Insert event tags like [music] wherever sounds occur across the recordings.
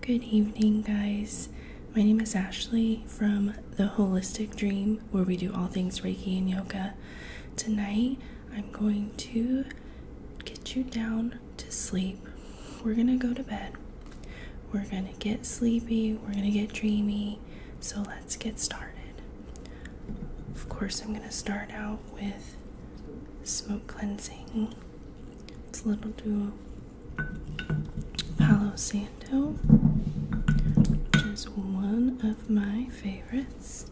Good evening, guys. My name is Ashley from The Holistic Dream, where we do all things Reiki and yoga. Tonight, I'm going to get you down to sleep. We're gonna go to bed. We're gonna get sleepy. We're gonna get dreamy. So, let's get started. Of course, I'm gonna start out with smoke cleansing. It's a little duo Palo Santo, which is one of my favorites.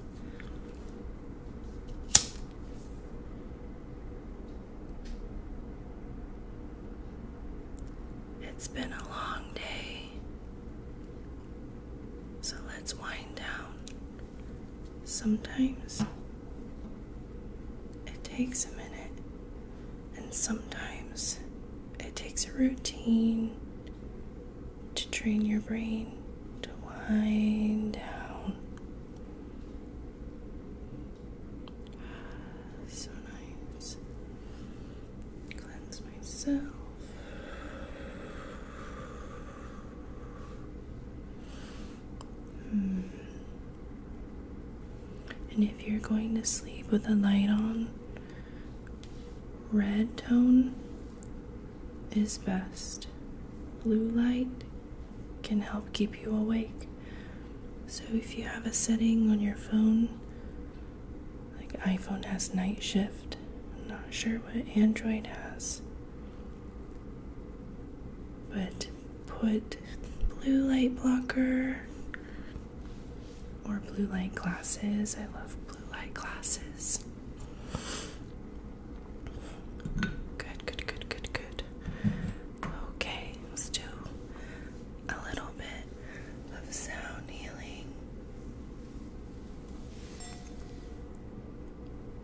It's been a long day, so let's wind down Sometimes it takes a minute, and sometimes it takes a routine to train your brain to wind down. So nice. Cleanse myself. Hmm. And if you're going to sleep with a light on, red tone is best. Blue light can help keep you awake. So if you have a setting on your phone, like iPhone has night shift, I'm not sure what Android has. But put blue light blocker or blue light glasses. I love blue light glasses. Good, good, good, good, good. Okay, let's do a little bit of sound healing.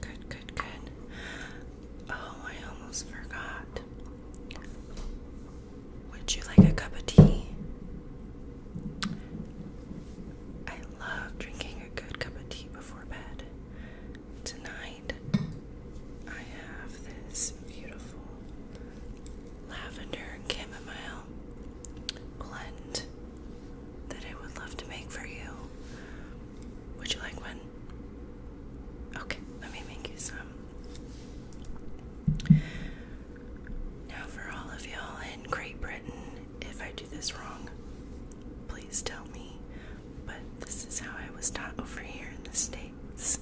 Good, good, good. Oh, I almost forgot. Would you like a cup of tea? I love drinking a good cup of tea before bed. Tonight, I have this beautiful lavender and chamomile blend that I would love to make for you. Would you like one? Okay, let me make you some. Now, for all of y'all in Great Britain, if I do this wrong, please tell me. But this is how I was taught over here in the States.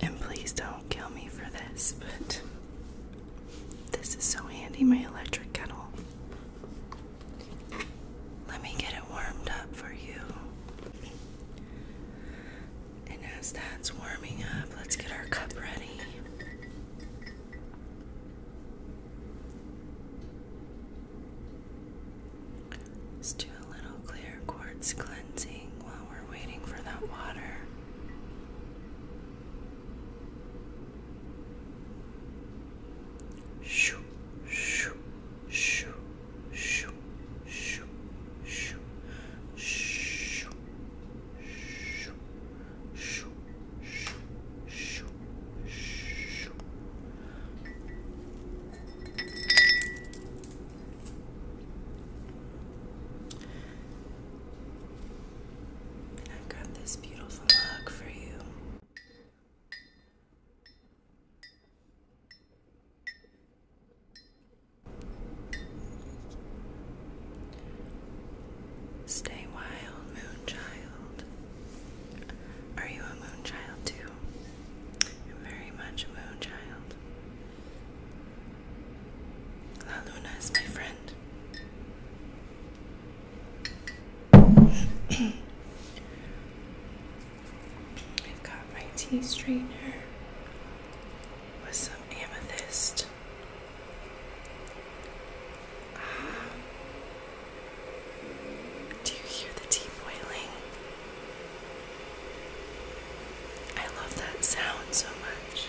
And please don't kill me for this, but this is so handy, my electric kettle. Let me get it warmed up for you. And as that's warming up, let's get our cup ready. Let's do a little clear quartz cleansing while we're waiting for that water. Shoo, shoo, shoo, shoo, shoo, shoo, shoo, shoo, shoo, shoo, shoo, shoo, shoo, shoo, i got this beautiful mug for you. Stay wild, moonchild. Are you a moonchild too? i very much moon child. La Luna is my friend. [clears throat] I've got my tea straightener with some amethyst. Ah. Do you hear the tea boiling? I love that sound so much.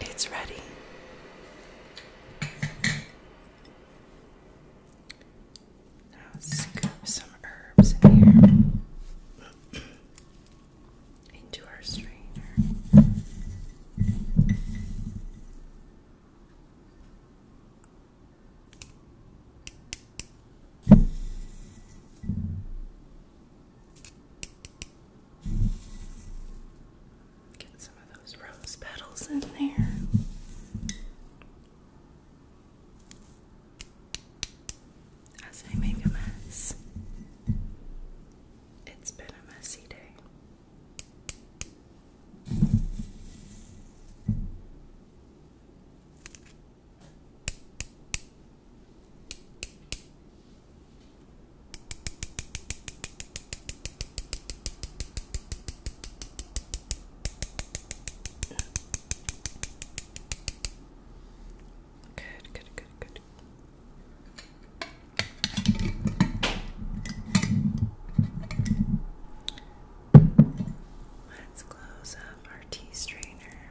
It's ready. Now scoop some herbs in here into our strainer. Get some of those rose petals in there. As I make a mess, it's been a messy day. Good, good, good, good. Let's close up our tea strainer.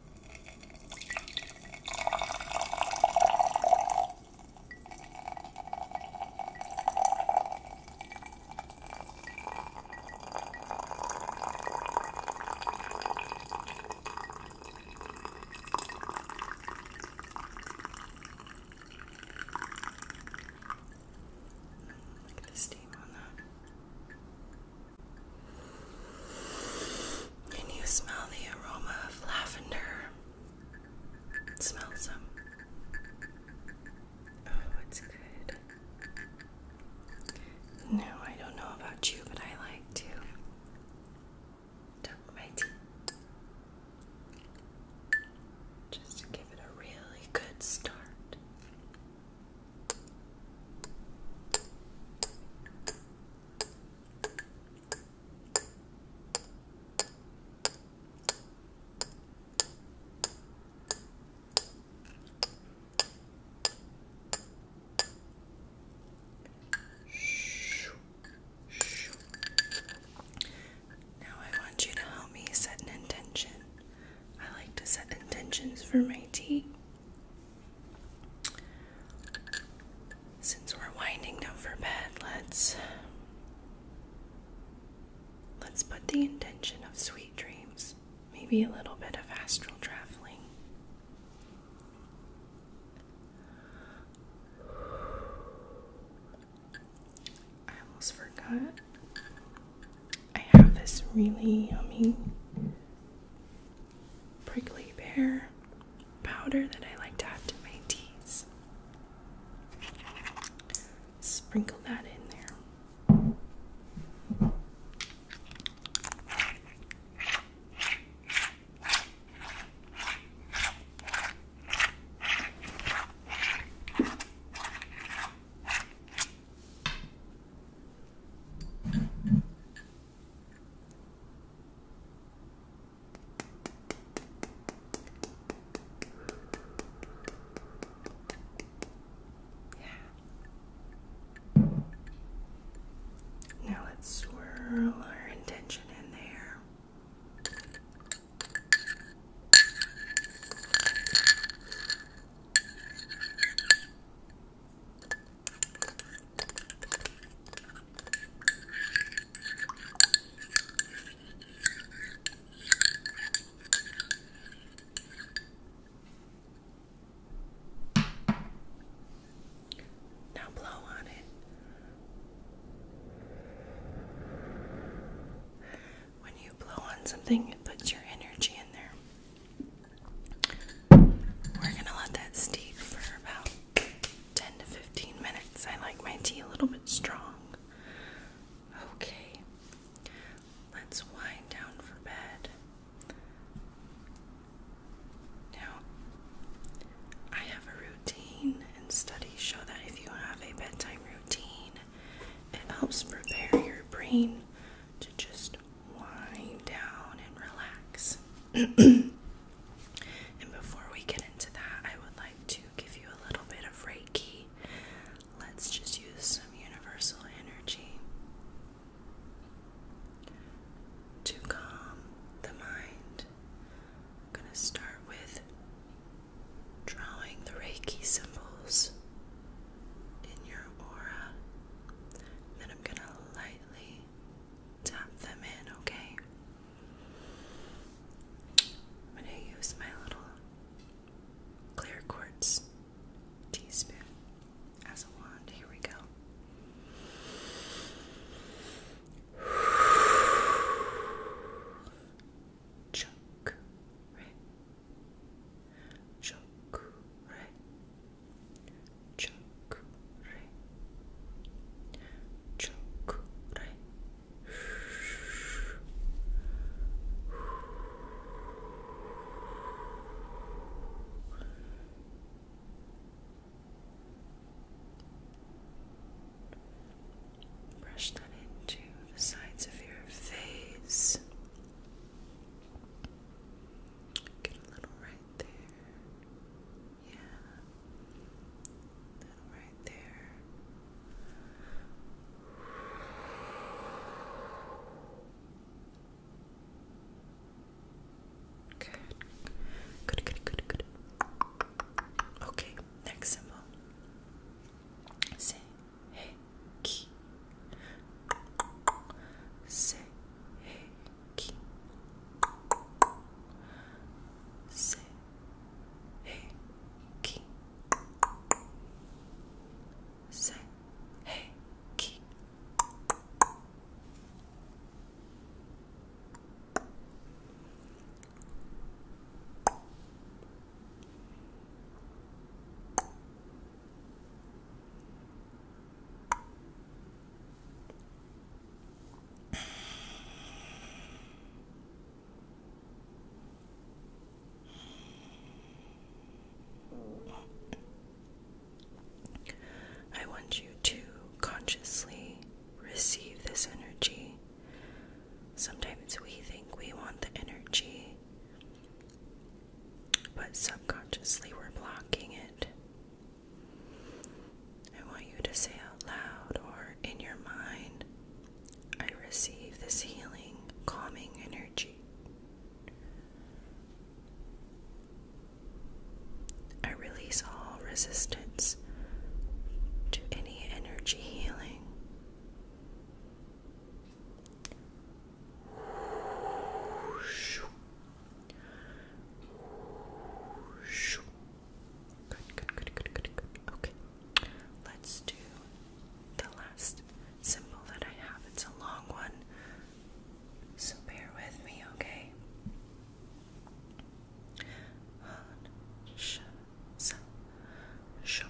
Look at the steam on that. Can you smell the aroma of lavender? Smell some. Um, oh, it's good. No, I don't know about you, but I like to dump my tea. Just to give it a really good start. Now I want you to help me set an intention. I like to set intentions for my tea. Since we're winding down for bed, let's let's put the intention of sweet dreams, maybe a little bit of astral traveling. I almost forgot. I have this really yummy prickly pear powder that I like to add to my teas. Sprinkle that in there. Yeah. Now let's swirl our intention in there. Now blow on it. When you blow on something, it puts your energy in there. We're gonna let that steep for about 10 to 15 minutes. I like my tea a little bit strong. Okay, let's wind down for bed. Now, I have a routine, and studies show that if you have a bedtime routine, it helps prepare your brain to just wind down and relax. [clears throat] and before we get into that, I would like to give you a little bit of Reiki. Let's just use some universal energy to calm the mind. going to start with drawing the Reiki symbols in your aura. Then I'm going to lightly tap them in, okay? I'm going to use my little clear quartz teaspoon as a wand. Here we go. Chunk, right? Chokure, chokure, chokure. Brush that into the sides of your face. Get a little right there. Yeah. Little right there. Good. Good, good, good, Okay, next symbol. Say Heki Se Heki Se Heki Se Heki Heki I want you to consciously receive this energy. Sometimes we think we want the energy, but subconsciously we're blocking it. I want you to say out loud or in your mind, I receive this healing, calming energy. I release all resistance to any energy healing. Good, good, good, good, good, good. Okay. Let's do the last symbol that I have. It's a long one. So bear with me, okay? Han, sh, sa, shum,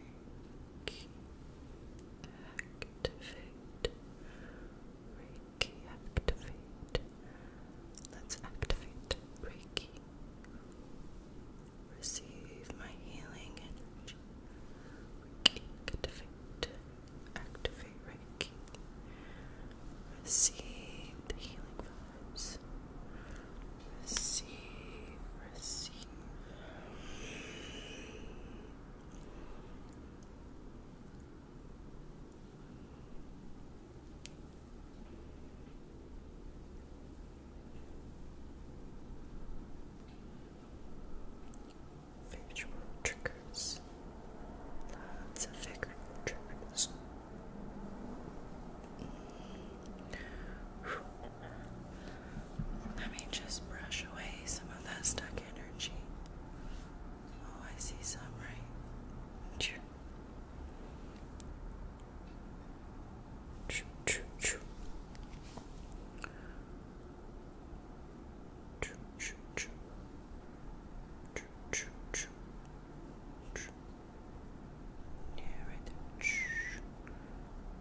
Reiki activate. Reiki activate. Let's activate Reiki. Receive my healing energy. activate. Activate Reiki. Receive the healing vibes. Receive, receive, Factual triggers. Lots of factual triggers. Mm. Let me just brush away some of that stuck energy. Oh, I see some, right? Choo. Choo, choo, choo. Choo, choo, choo. Choo, choo, choo. Choo. Yeah, right there. Shh.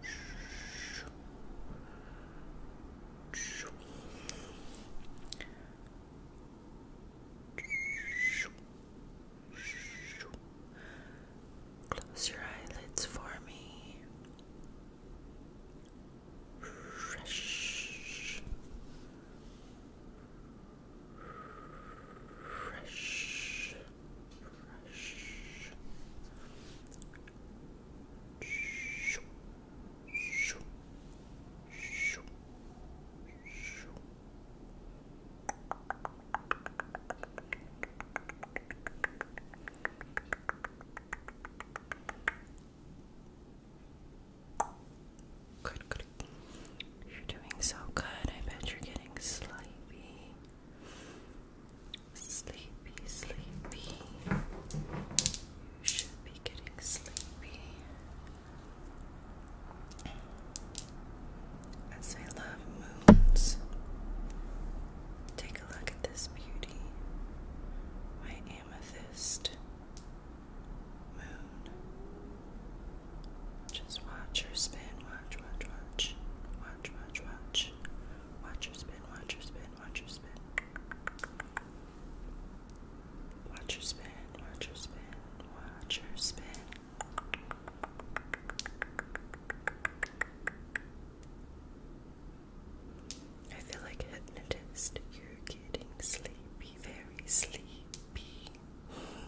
Shh. Close your eyelids for me brush. You're doing so good. I bet you're getting sleepy. Sleepy, sleepy. You should be getting sleepy. As I love moons, take a look at this beauty. My amethyst moon. Just watch her spin. Watch, watch, watch. Watch, watch, watch. Watch your spin, watch your spin, watch your spin. Watch your spin, watch your spin, watch your spin. I feel like hypnotist. You're getting sleepy, very sleepy. uh,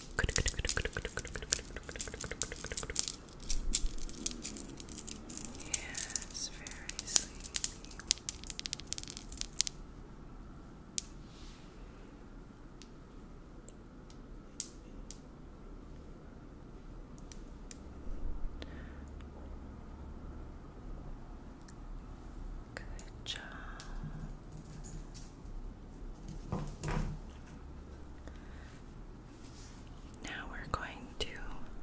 Yes, very sleepy. Good job. Now we're going to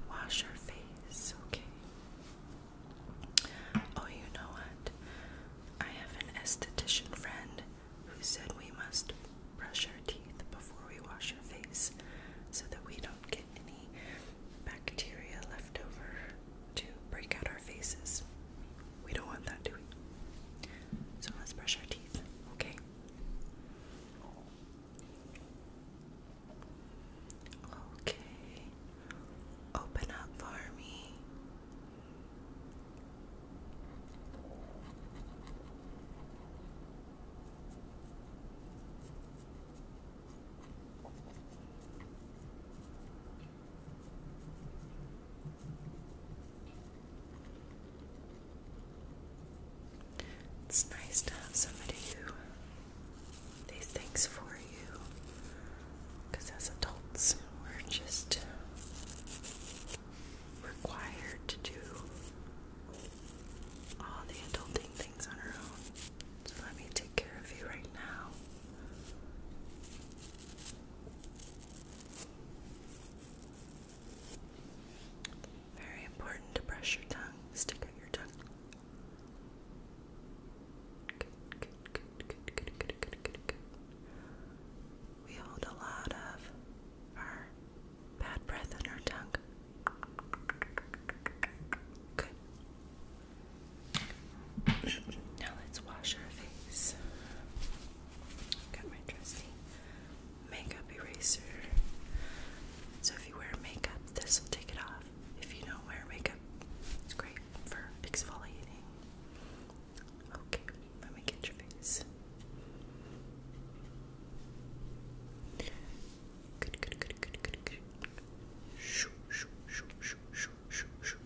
wash our face, okay? Oh, you know what? I have an esthetician friend who said we must brush our teeth before we wash our face so that we don't get any bacteria left over to break out our faces. We don't want that, do we? So let's brush our teeth, okay? Okay. Open up for it's nice to have somebody who these things for you because as adults we're just required to do all the adulting things on our own. So let me take care of you right now. Very important to brush your tongue, stick out your tongue. Good, good, good, good, good, good, good, good, We hold a lot of our bad breath in our tongue. Good. now let's wash our face. Got my trusty makeup eraser. So if you wear makeup, this will take it off. If you don't wear makeup, it's great for exfoliating. Okay, let me get your face. Good, good, good, good, good, good. Shoo, shoo, shoo, shoo, shoo, shoo, shoo,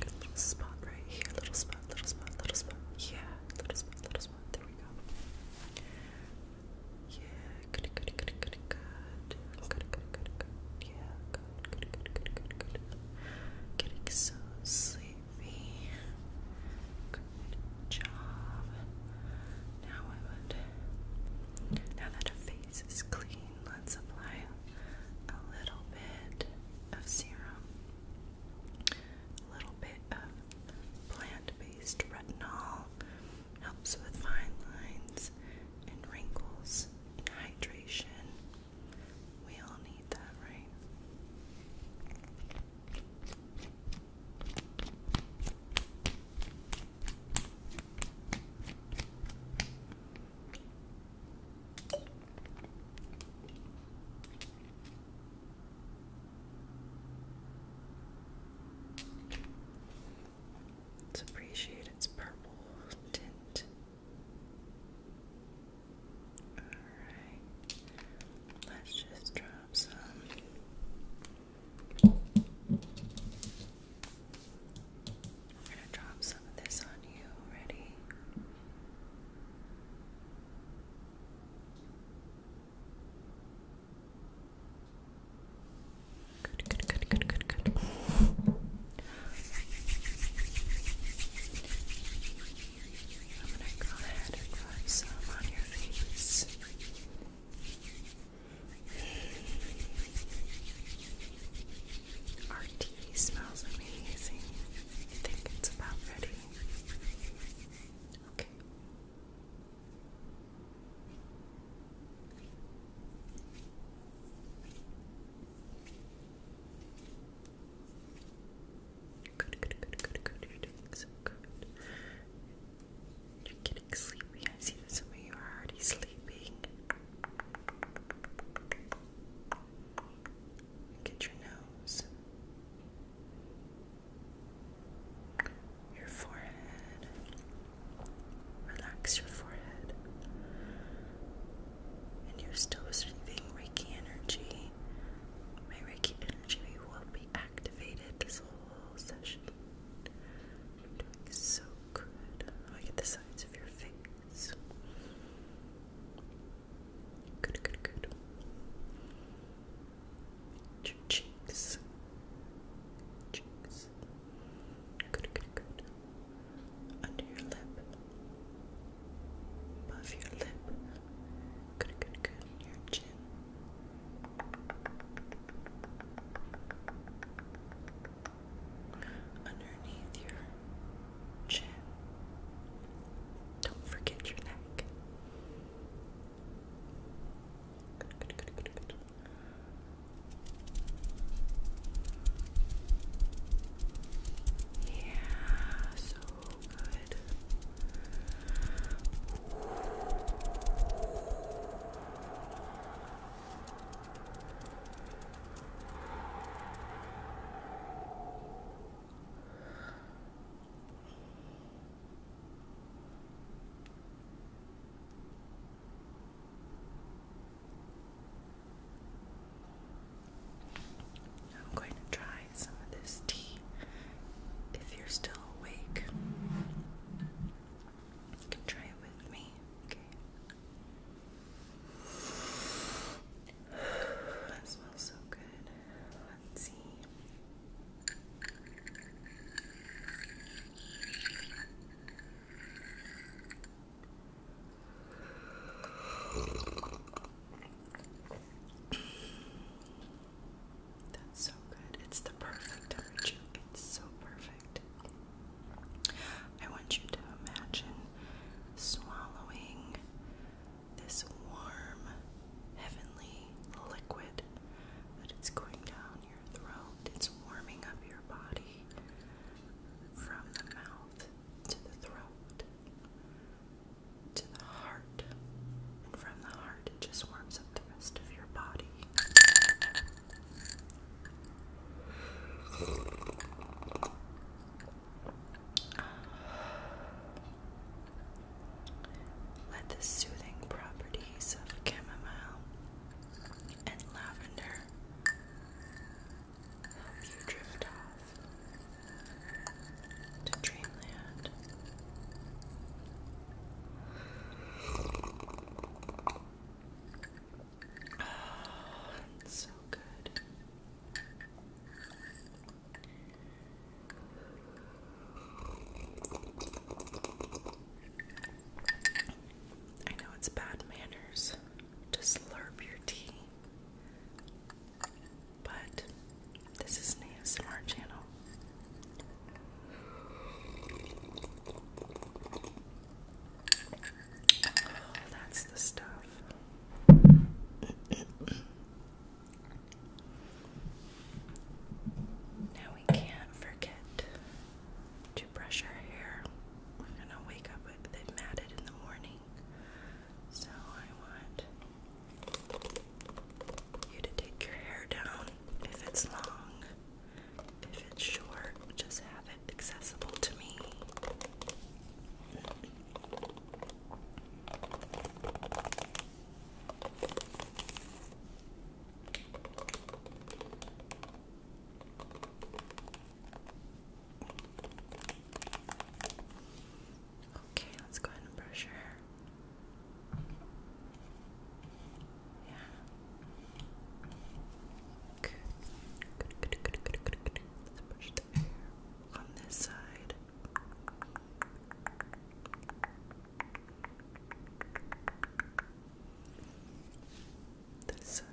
Good little spot right here. Little spot, little spot, little spot. Yeah, little spot, little spot. There we go. Yeah, good, good, good, good, good. Good, good, good, good. Yeah, good, good, good, good, good, good. Getting so sleepy. Good job. Now I would. Now that her face is clean, let's apply a little bit of serum, a little bit of plant-based retinol. Helps with fine lines and wrinkles and hydration. We all need that, right? Let's appreciate its purple tint. Alright, let's just drop some. I'm going to drop some of this on you already. Good, good, good, good, good, good. I'm going to go ahead and put some on your face. Our tea smells amazing. I think it's about ready. Okay. You're You're getting sleepy. I see that some of you are already sleeping. Get your nose, your forehead. Relax your forehead and you're still receiving Reiki energy, my Reiki energy will be activated this whole session. so good. Look at the sides of your face. Good, good, good. Your cheeks. Cheeks. Good, good, good. Under your lip above your lip. Good, good, good. Your chin. Underneath your chin. Don't forget your neck. Good, good, good, good, good. Yeah, so good. I'm going to try some of this tea if you're still awake. You can try it with me, okay? That smells so good. Let's see. That's so good. It's the perfect temperature. It's so perfect. I want you to imagine swallowing this warm, heavenly liquid that it's going down your throat. It's warming up your body from the mouth to the throat, to the heart, and from the heart it just warms up the rest of your body. Let the soothing properties of chamomile and lavender help you drift off to dreamland. Oh, so good. I know it's bad manners to slurp your tea but this is an smart channel. Oh, that's the stuff. now we can't forget to brush our hair. We're gonna wake up with it matted in the morning. So I want you to take your hair down if it's long. If it's short, just have it accessible to me. Okay, let's go ahead and brush your hair. Yeah. Good. Let's brush the hair on this side. This side.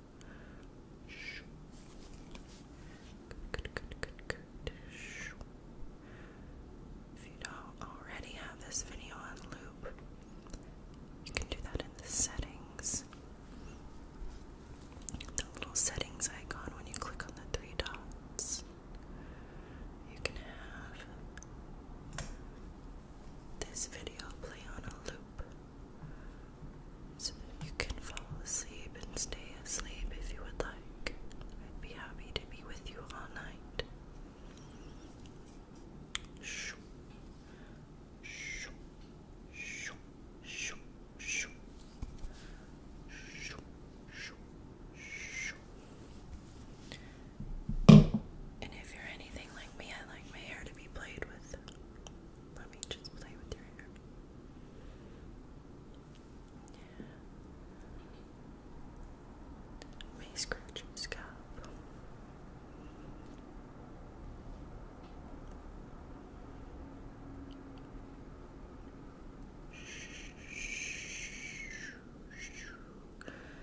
Good, If you already have this video on loop, you can do that in the settings. The little settings icon when you click on the three dots. You can have this video play on a loop so that you can fall asleep and stay asleep if you would like. I'd be happy to be with you all night. Shoo. Shoo. Shoo. Shoo. Shoo. Shoo. Shoo. Shoo. And if you're anything like me, I like my hair to be played with with. Let me just play with your hair. Let me scratch your scalp.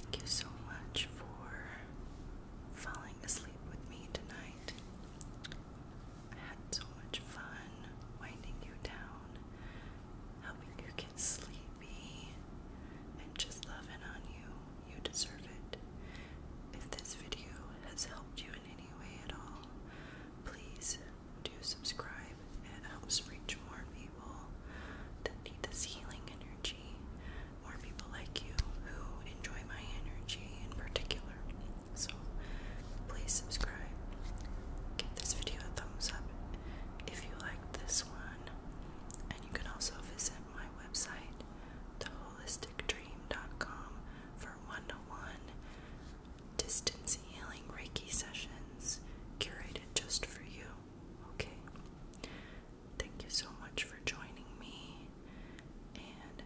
Thank you so much for falling asleep with me tonight. I had so much fun winding you down, helping you get sleepy, and just loving on you. You deserve it. If this video has helped you in any way at all, please do subscribe. It helps reach more people that need this healing energy, more people like you who enjoy my energy in particular. So please subscribe. Give this video a thumbs up if you liked this one. And you can also visit my website, The Holistic mysticdream.com for one to one distance healing Reiki sessions curated just for you. Okay. Thank you so much for joining me. And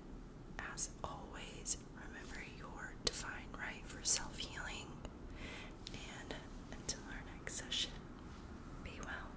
as always, remember your divine right for self healing. And until our next session, be well.